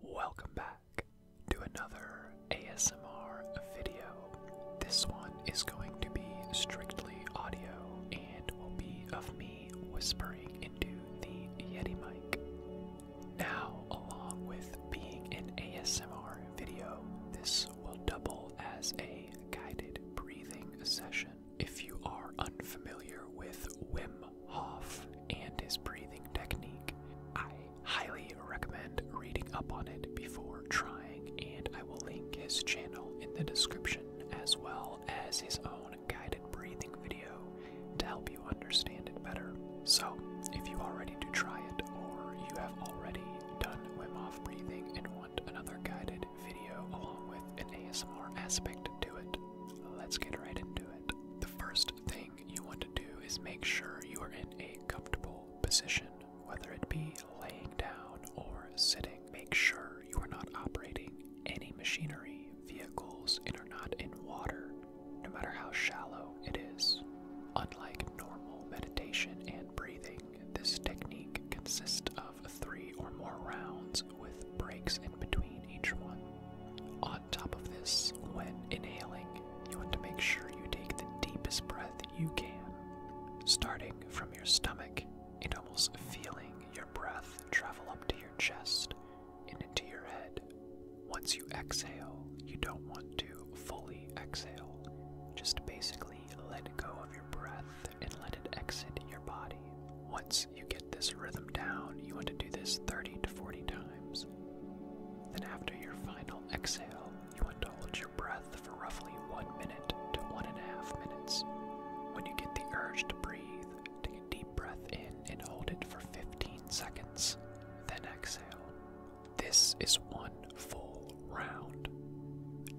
Welcome back to another ASMR video. This one is going to be strictly audio and will be of me whispering into the Yeti mic. Now, along with being an ASMR video, this will double as a guided breathing session. If you are unfamiliar with WIM Hof and his breathing technique. I highly recommend reading up on it before trying, and I will link his channel in the description as well as his own guided breathing video to help you understand it better. So, if you are ready to try it or you have already done Wim Hof breathing and want another guided video along with an ASMR aspect to it, let's get right into it. The first thing thing you want to do is make sure you are in a comfortable position, whether it be laying down or sitting. Make sure you are not operating any machinery, vehicles, and are not in water, no matter how shallow it is. Unlike normal meditation and breathing, this technique consists of three or more rounds with breaks in between each one on top of this, when inhaling, you want to make sure you take the deepest breath you can, starting from your stomach and almost feeling your breath travel up to your chest and into your head. Once you exhale, you don't want to fully exhale. Just basically let go of your breath and let it exit your body. Once you get this rhythm down, you want to do this 30 to 40 times. Then, after your final exhale, you want to hold your breath for roughly one minute to one and a half minutes. When you get the urge to breathe, take a deep breath in and hold it for 15 seconds, then exhale. This is one full round.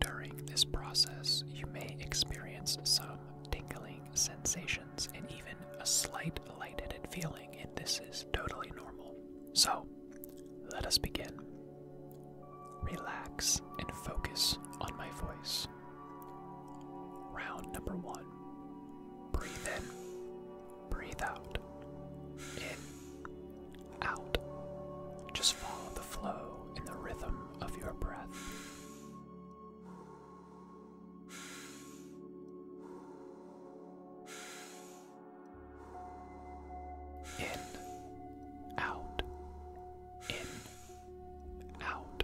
During this process, you may experience some tingling sensation and even a slight light-headed feeling, and this is totally normal. So, let us begin. Relax and focus on my voice. Round number one breathe in, breathe out, in, out. Just follow the flow and the rhythm of your breath. In, out, in, out.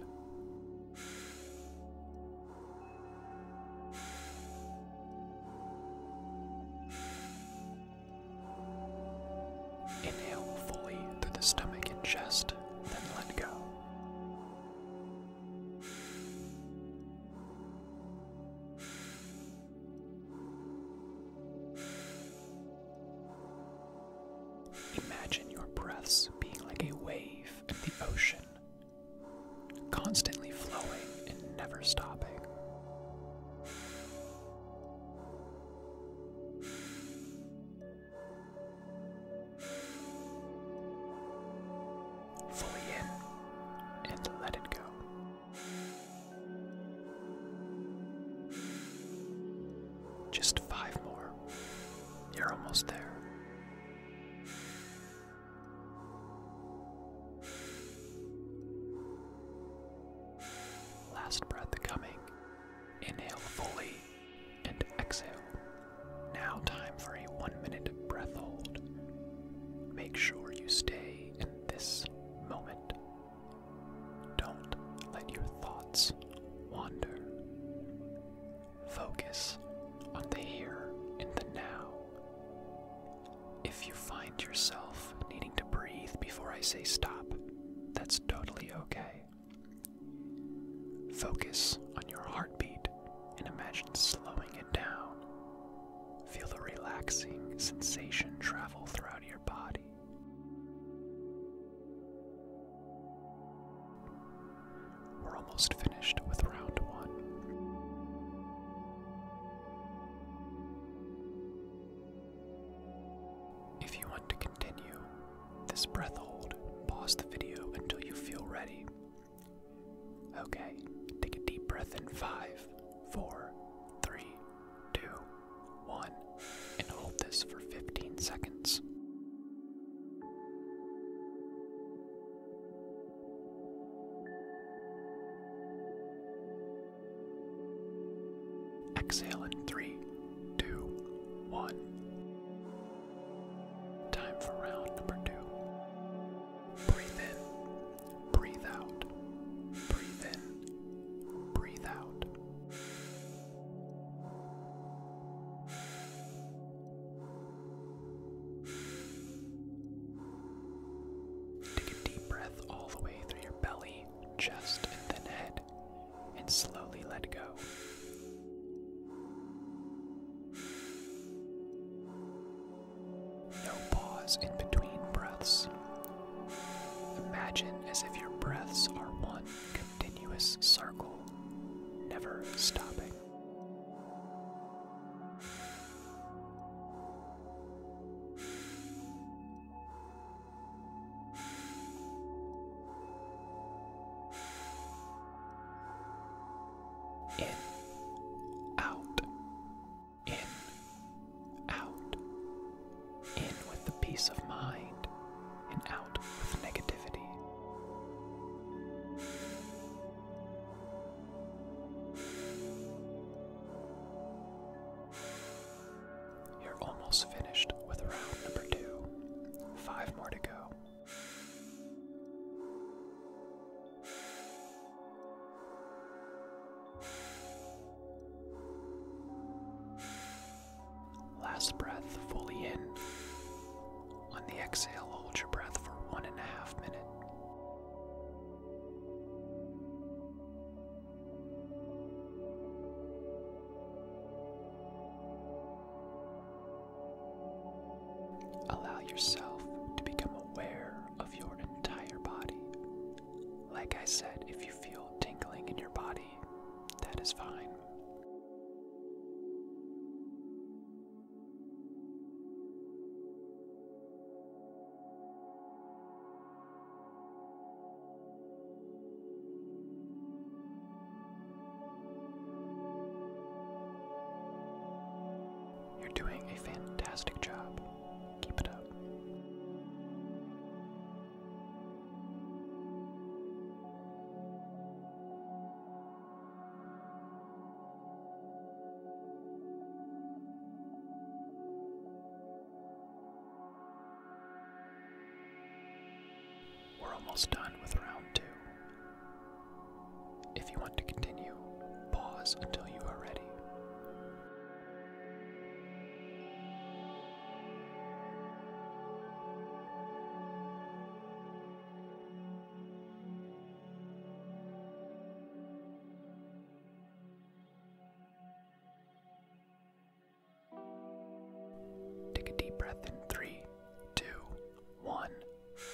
Inhale fully through the stomach and chest, then let go. Imagine your breaths being like a wave in the ocean, constantly flowing and never stopping fully in and let it go. Just five more. You're almost there. Last breath coming. Inhale fully and exhale now, time for a one minute breath hold. Make sure you stay in this moment. Don't let your thoughts wander. Focus on the here and the now. If you find yourself needing to breathe before I say stop, that's totally okay. Focus on your heartbeat and imagine slowing it down. Feel the relaxing sensation travel throughout your body. We're almost finished with round one. If you want to continue this breath hold, pause the video until you feel ready Okay, take a deep breath in five, four, three, two, one, and hold this for 15 seconds. Exhale in three, two, one. Time for round number two. Breathe in, breathe out. Breathe in, breathe out. Take a deep breath all the way through your belly, chest, and then head, and slowly let go. No pause in between breaths. Imagine as if your breaths are one continuous circle, never stopping. In, out. In, out. In with the peace of mind, and out with negativity. You're almost finished with round number two. Five more to go. Last breath fully in. On the exhale, hold your breath for one and a half minutes. Allow yourself to become aware of your entire body. Like I said, if you feel tingling in your body, that is fine. You're doing a fantastic job. Keep it up. We're almost done with round two. If you want to continue, pause until you are ready. Take a deep breath in three, two, one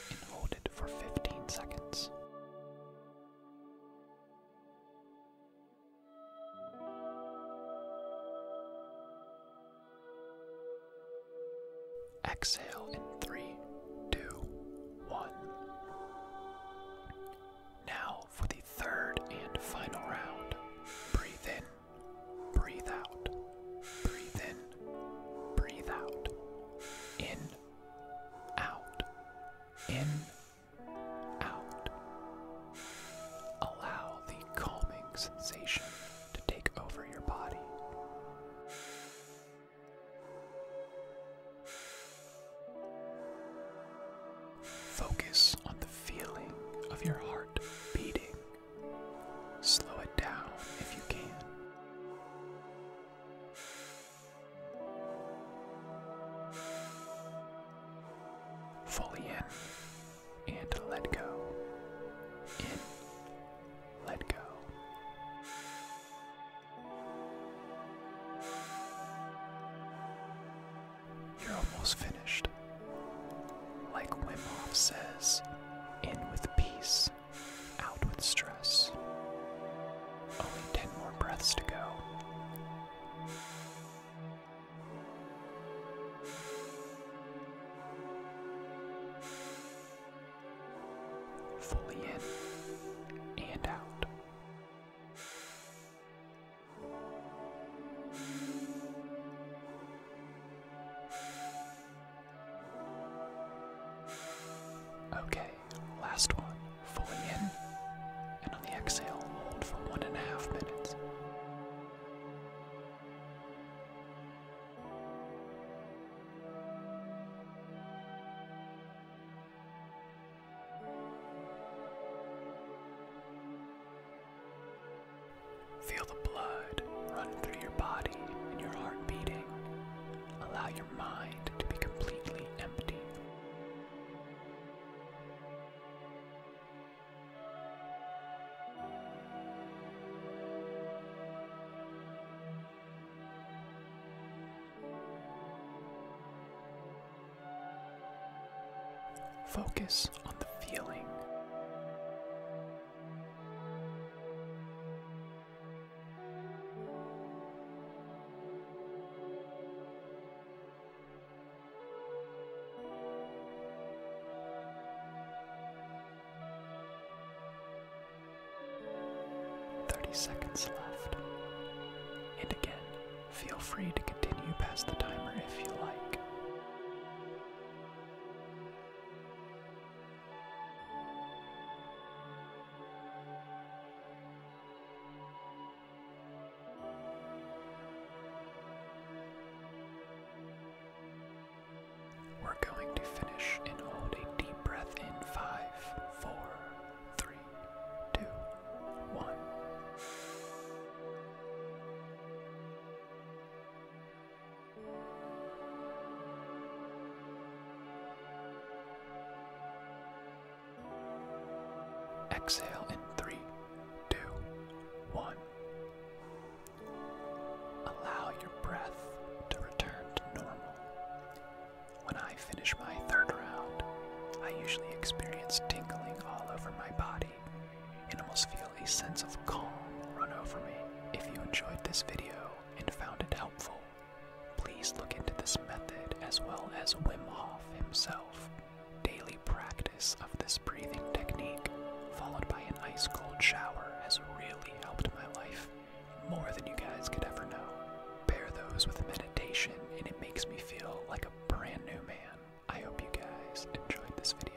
and hold it for 15 seconds. Exhale in three, two, one. Now for the third and final round. Breathe in, breathe out, breathe in, breathe out. In out, in, out. Allow the calming sensation to take over your body. Focus on the feeling of your heart beating. Slow it down if you can. Fully in and let go. In, let go. You're almost finished. Like Wim Hof says, in with peace out with stress. Only 10 more breaths to go. Fully in and out. Okay, last one. Fully in. And on the exhale, hold for one and a half minutes. Feel the blood run through your body and your heart beating Allow your mind to be completely empty. Focus on the feeling. 30 seconds left. And again, feel free to continue past the timer if you like. We're going to finish and hold a deep breath in five, four, three, two, one. Exhale in three, two, one. Allow your breath to return to normal. When I finish my third round, I usually experience tingling all over my body and almost feel a sense of calm run over me. If you enjoyed this video and found it helpful, Please look into this method as well as Wim Hof himself. Daily practice of this breathing technique, followed by an ice cold shower, has really helped my life more than you guys could ever know. Pair those with meditation, and it makes me feel like a brand new man. I hope you guys enjoyed this video.